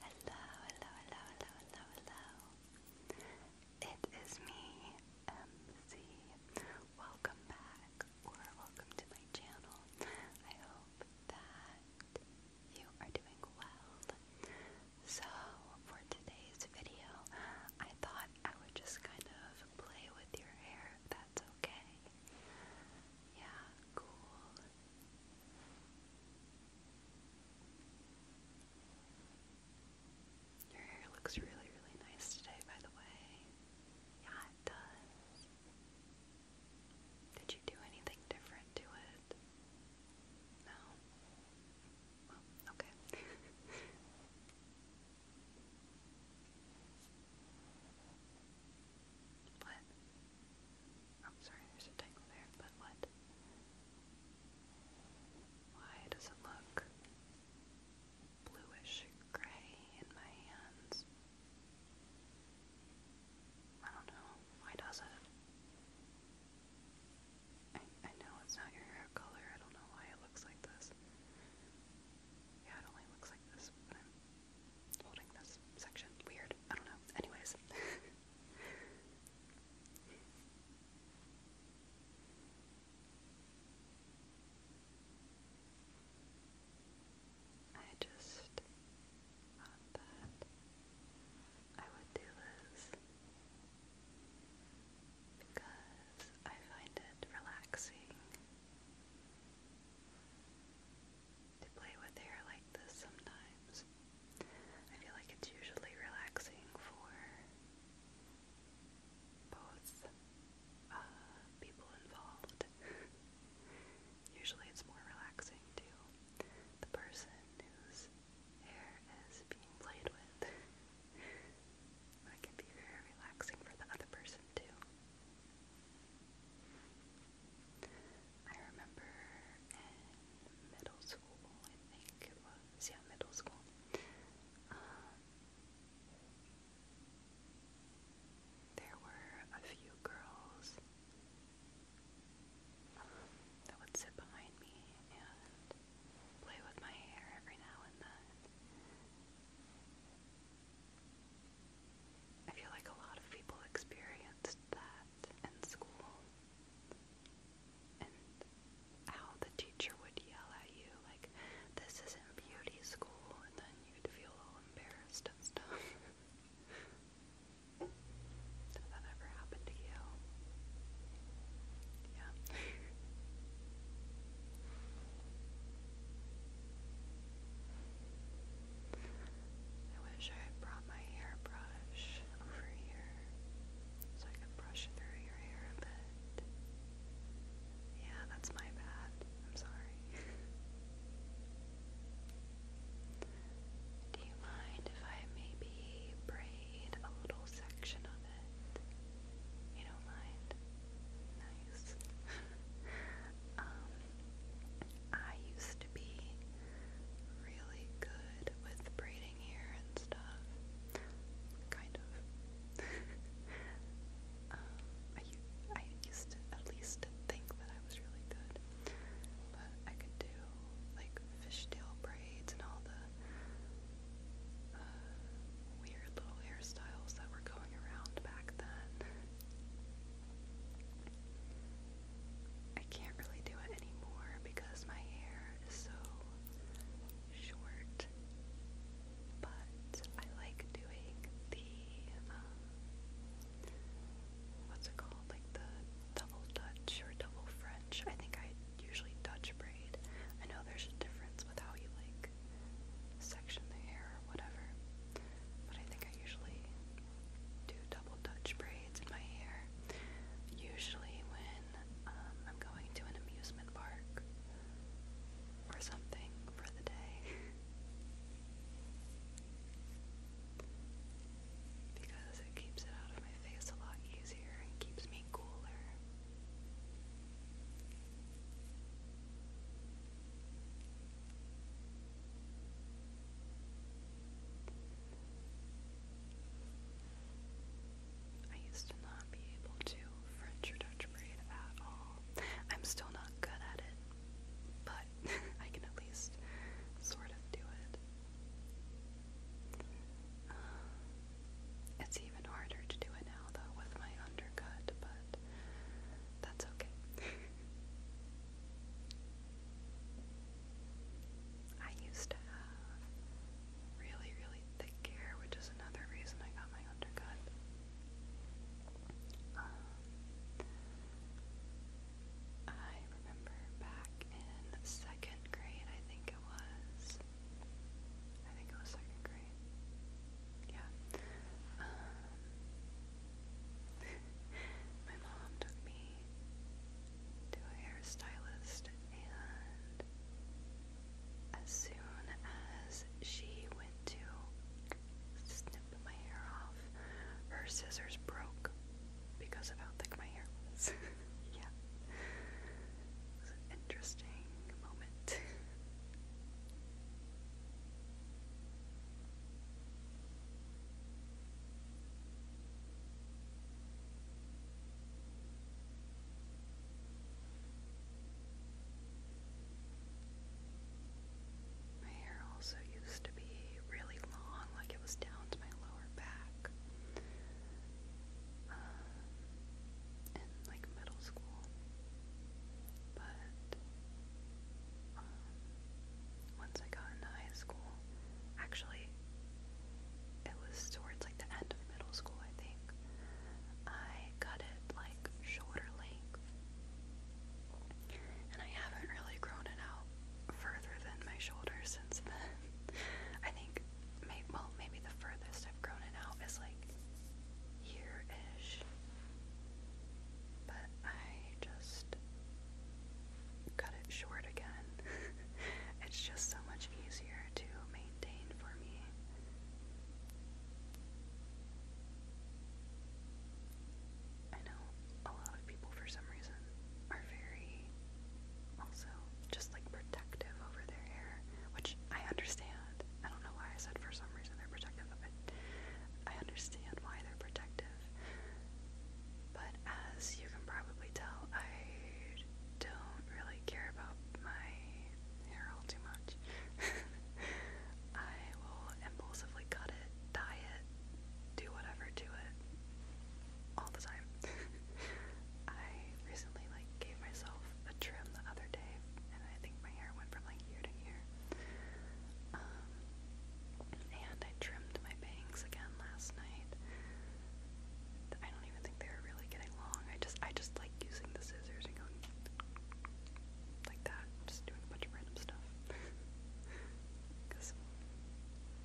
Hello, hello, hello, hello, hello, hello. It is me, MC. Welcome back, or welcome to my channel. I hope that you are doing well. So, for today's video, I thought I would just kind of play with your hair, if that's okay. Yeah, cool. Your hair looks really, really nice today, by the way. Yeah, it does. Did you do anything different to it? No? okay. what? I'm sorry, there's a tangle there, but what? Why does it look bluish gray in my hands? I don't know. Why does it? I, I know it's not your hair color. I don't know why it looks like this. Yeah, it only looks like this, but I'm holding this section. Weird. I don't know. Anyways. I just thought that I would do this because I find it relaxing. They play with hair like this sometimes. I feel like it's usually relaxing for both uh, people involved. usually it's more relaxing to the person whose hair is being played with. That can be very relaxing for the other person too. I remember in middle school, I think it was, yeah, middle school. Um, there were a few girls um, that would sit behind me and play with my hair every now and then. I feel like a lot of people experienced that in school and how the teacher would yell at you like this isn't beauty school and then you'd feel all embarrassed and stuff. Did that ever happen to you? Yeah. I wish I had brought my hairbrush over here so I could brush through your hair a bit. Yeah, that's my bad. I'm sorry. Do you mind if I maybe braid a little section of it? You don't mind? Nice. um, I used to be really good with braiding hair and stuff. Kind of. Um, I, used to at least think that I was really good. But I could do like fishtail braids and all the uh, weird little hairstyles that were going around back then. I can't really do it anymore because my hair is so short. But I like doing the um, what's it called? Like the double Dutch or double French. I think I usually Dutch braid. I know there's a difference with how you like section the hair or whatever, but I think I usually do double Dutch braids in my hair. Usually, when um, I'm going to an amusement park or something for the day, because it keeps it out of my face a lot easier and keeps me cooler. I used to not be able to French or Dutch braid at all. I'm still not good at it, but I can at least sort of do it. Uh, it's even harder to do it now, though, with my undercut, but that's okay. I used to have really, really thick hair, which is another reason I got my undercut. Um, I remember back in second grade, I think it was. I think it was second grade. Yeah. Um, my mom took me to a hairstylist, and as soon as she went to snip my hair off, her scissors broke because of how thick my hair was. yeah. interesting moment. My hair also used to be really long, like it was down to my lower back. Um, in like middle school. But um, once I got into high school, actually it was towards like the end of middle school, I think. I got it like shoulder length. And I haven't really grown it out further than my shoulder since I think, well, maybe the furthest I've grown it out is like here ish. But I just cut it short again. it's just so much easier to maintain for me. I know a lot of people, for some reason, are very also just like protective over their hair, which I understand. I don't know why I said for some reason they're protective of it. I understand why they're protective. But as you can probably tell, I don't really care about my hair all too much. I will impulsively cut it, dye it, do whatever to it all the time. I recently like gave myself a trim the other day and I think my hair went from like ear to ear. And I trimmed my bangs again last night. I don't even think they were really getting long. I just I just like using the scissors and going like that. just doing a bunch of random stuff. Cause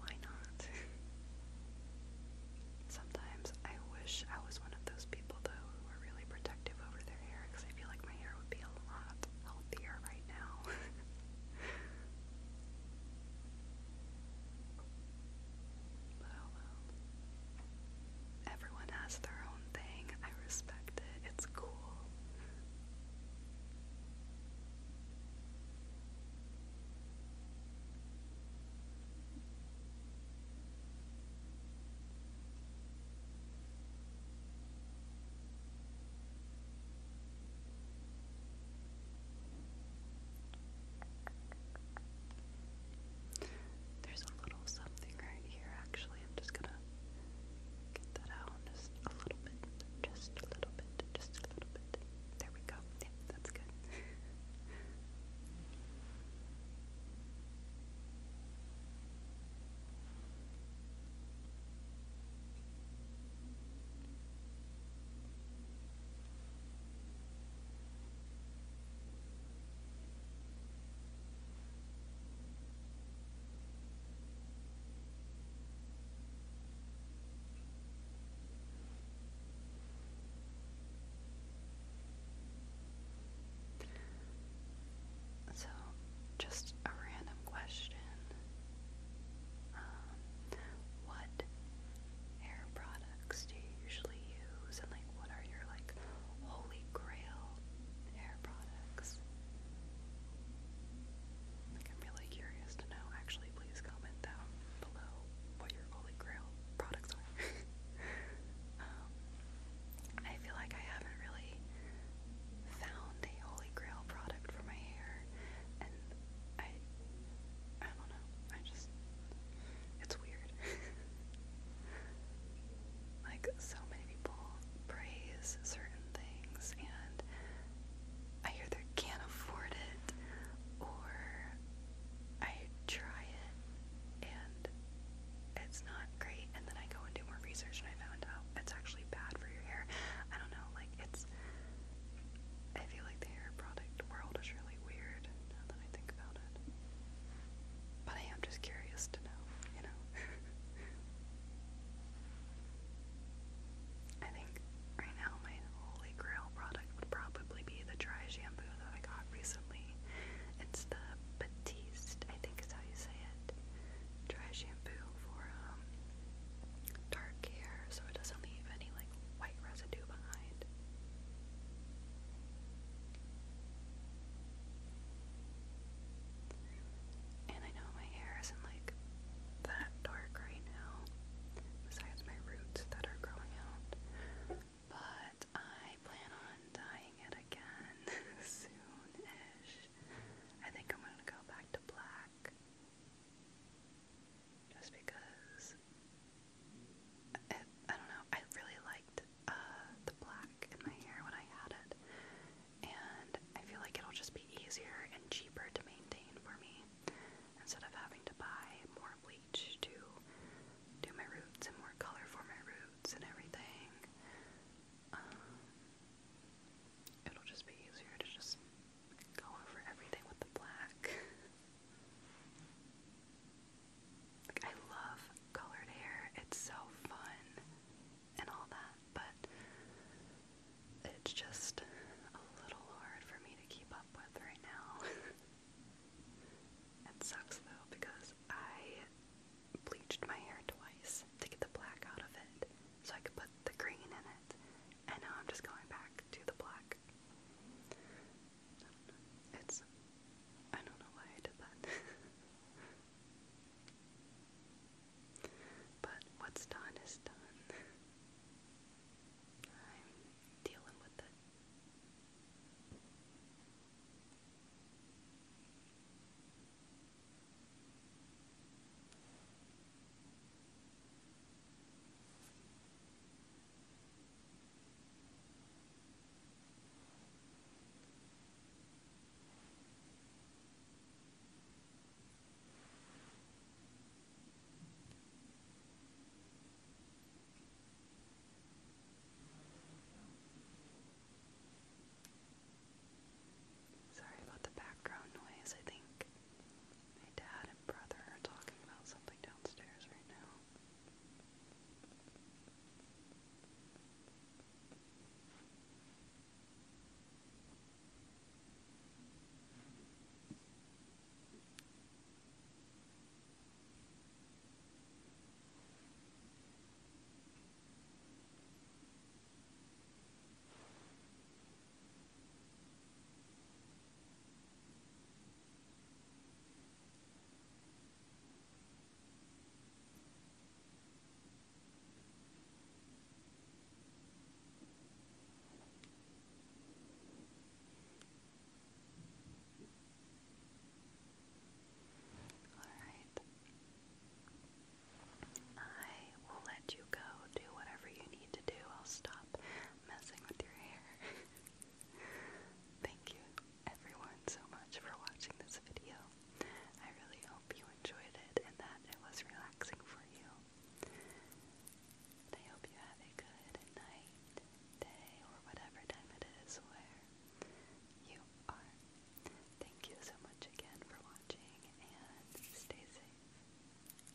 why not? Sometimes I wish I was one of those people though who are really protective over their hair because I feel like my hair would be a lot healthier right now. But oh Everyone has their own thing. I respect it. It's cool. There's a little something right here, actually. I'm just gonna get that out just a little bit, just a little bit, just a little bit. There we go. Yeah, that's good. So, just a random question um, what hair products do you usually use, and like what are your like holy grail hair products? Like I'm really curious to know. Actually, please comment down below what your holy grail products are. Um, I feel like I haven't really found a holy grail product for my hair and I, I don't know, I just, it's weird. like, so many people praise certain things, and I either can't afford it, or I try it, and it's not great, and then I go and do more research, and I found out it's actually bad for your hair. I don't know, like, it's, I feel like the hair product world is really weird now that I think about it. But I am just curious to know, you know? I think right now my holy grail product would probably be the dry shampoo that I got recently. It's the Batiste, I think is how you say it. Dry shampoo for um dark hair so it doesn't leave any like white residue behind. And I know my hair isn't like that dark right now, besides my roots that are growing out. But I plan on dyeing it again soon-ish. I think I'm gonna go back to black just because it, I don't know, I really liked uh, the black in my hair when I had it, and I feel like it'll just be easier and cheaper to maintain for me instead of having to buy more bleach to do my roots and more color for my roots and everything. Um, it'll just be easier to just Go over everything with the black. like, I love colored hair, it's so fun and all that, but it's just a little hard for me to keep up with right now. it sucks though because I bleached my hair twice to get the black out of it so I could put the green in it, and now I'm just going back to the black like I It's I don't know why I did that. but what's done is done. I'm dealing with it. Sorry about the background noise, I think my dad and brother are talking about something downstairs right now. I all right. I will let you go do whatever you need to do. I'll stop messing with your hair. Thank you everyone so much for watching this video. I really hope you enjoyed it and that it was relaxing for you. I hope you have a good night, day, or whatever time it is where you are. Thank you so much again for watching and stay safe.